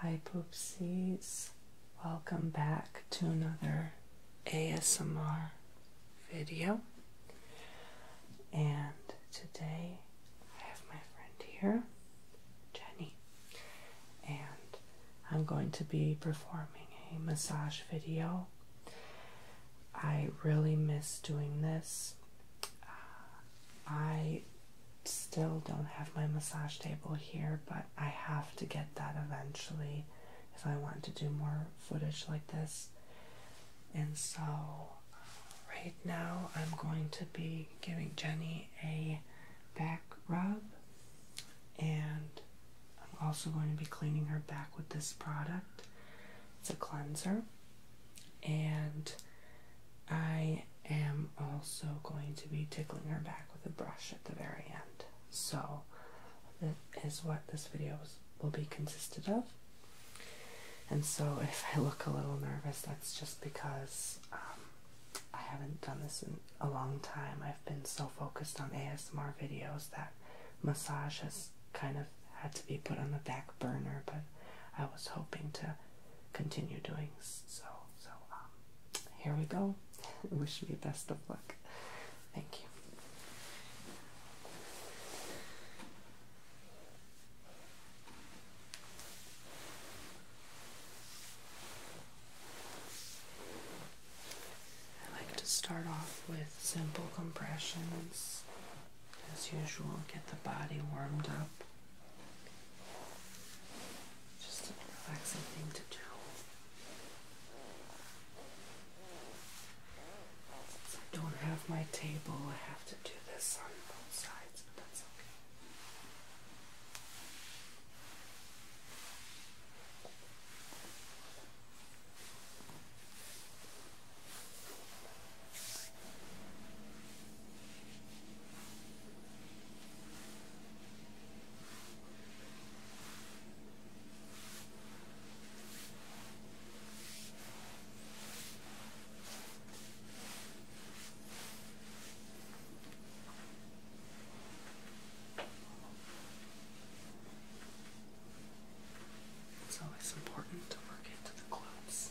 Hi, Poopsies. Welcome back to another ASMR video. And today I have my friend here, Jenny, and I'm going to be performing a massage video. I really miss doing this. Uh, I still don't have my massage table here, but I have to get that eventually if I want to do more footage like this. And so, uh, right now, I'm going to be giving Jenny a back rub, and I'm also going to be cleaning her back with this product. It's a cleanser, and I am also going to be tickling her back with a brush at the very end. So that is what this video will be consisted of. And so if I look a little nervous, that's just because um, I haven't done this in a long time. I've been so focused on ASMR videos that massage has kind of had to be put on the back burner, but I was hoping to continue doing so. So um, here we go. Wish me best of luck. Thank you. I like to start off with simple compressions as usual, get the body warmed up. Just a relaxing thing to do. I don't have my table, I have to do this on both sides, but that's okay. It's always important to work into the clothes.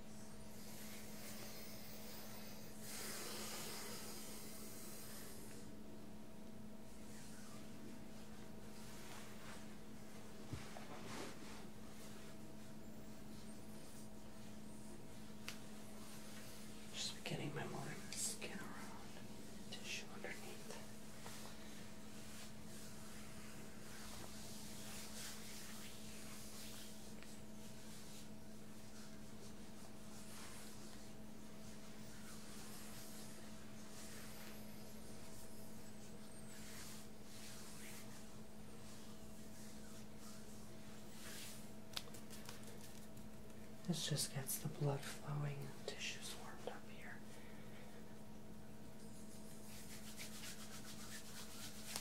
Just beginning my morning skin around, tissue underneath. This just gets the blood flowing and the tissues warmed up here.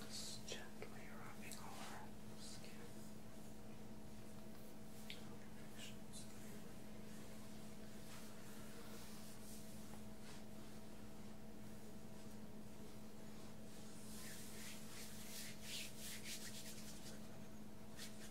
Just gently rubbing over the skin. Okay.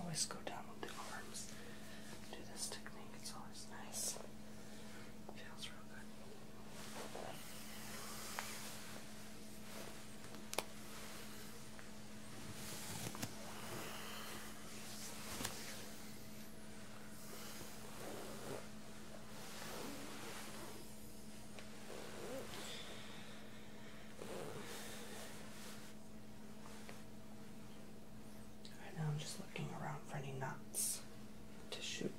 always go down with the arms. Do this technique, it's always nice. Feels real Good. Right now I'm just looking around for any nuts to shoot.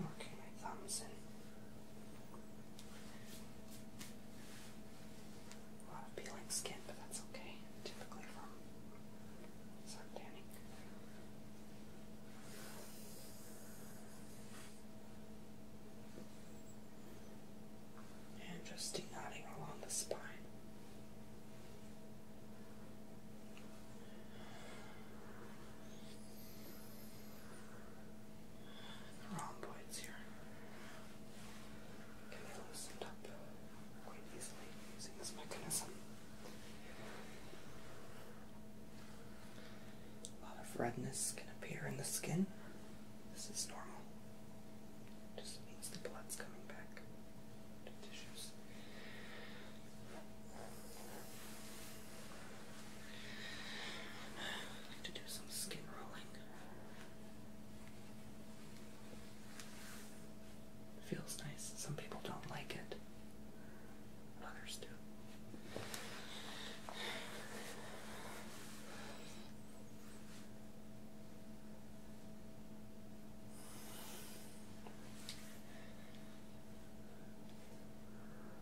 Working my thumbs in. A lot of peeling skin, but that's okay. Typically from sun tanning. And just knotting along the spine the here. Can be loosened up quite easily using this mechanism. A lot of redness can appear in the skin. This is normal. Just means the blood's coming back to tissues. I need to do some skin rolling. feels nice. Some people don't like it. Others do.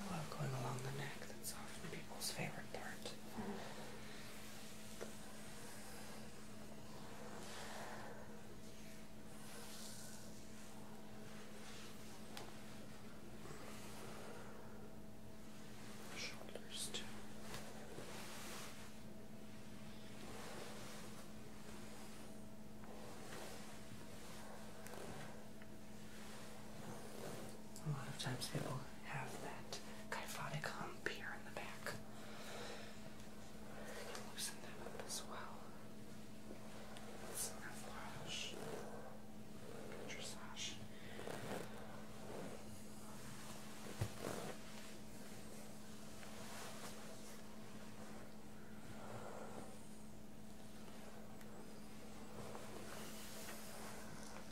I love going along the neck, that's often people's favorite part. Shoulders too. A lot of times people have that kyphotic hump here in the back. And loosen them up as well. It's massage. Dressage.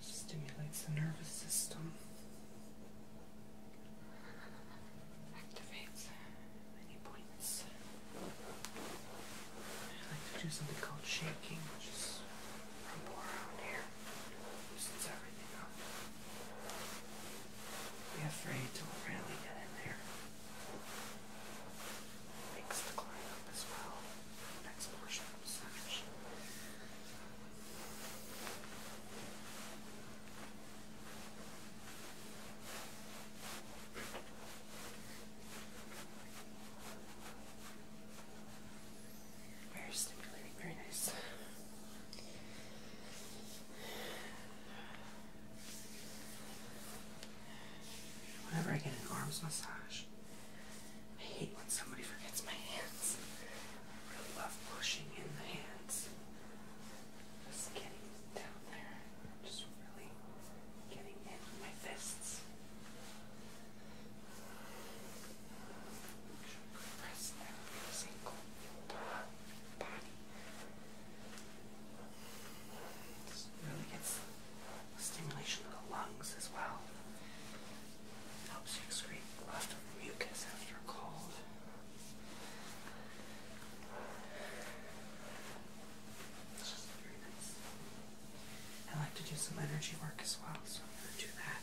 Stimulates the nervous system, activates many points. I like to do something called shaking, which is rumble around here. Be afraid to really get in there. Makes the climb up as well. Next portion of the very stimulating, very nice. Whenever I get an arms massage, I hate when somebody forgets my hands. I really love pushing in the hands. Just getting down there. Just really getting in my fists. Compress every single part body. really gets stimulation of the lungs as well. helps you excrete a mucus after a cold. It's just very nice. I like to do some energy work as well, so I'm going to do that.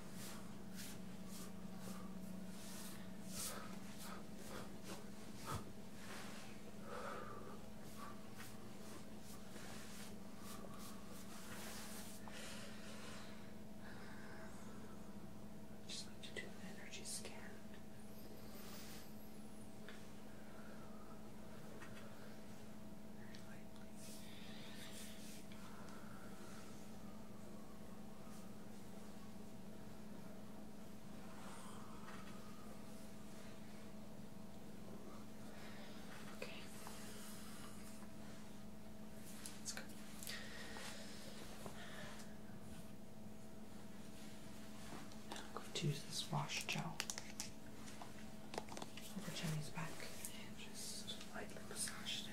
Just like to do an energy scan. Very lightly. Okay. That's good. Now I'm going to use this wash gel over Jenny's back just lightly massage it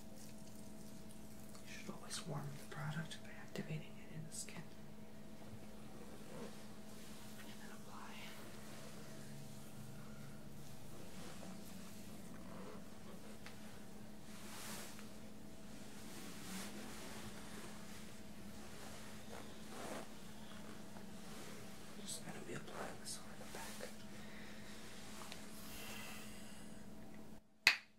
You should always warm the product by activating it in the skin. And then apply. I'm just going to be applying this on the back.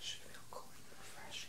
Should feel cool and refreshing.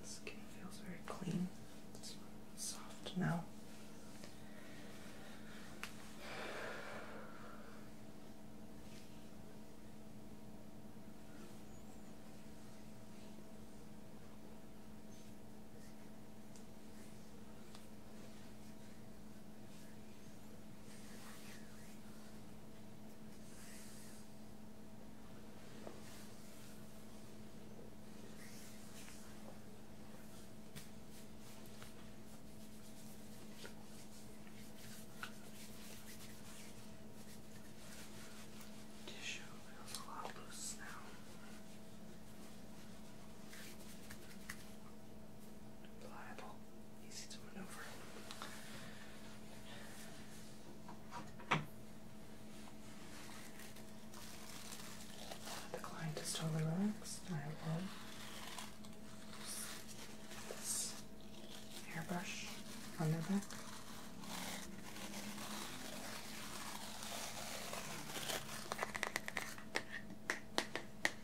The skin feels very clean, it's soft now. Tissue, we a lot loose now. Pliable easy to maneuver. The client is totally relaxed. I will this hairbrush on their back.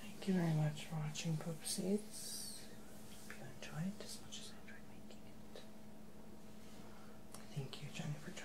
Thank you very much for watching Poop Hope you enjoyed as much as I enjoyed making it. Thank you, Jenny, for joining.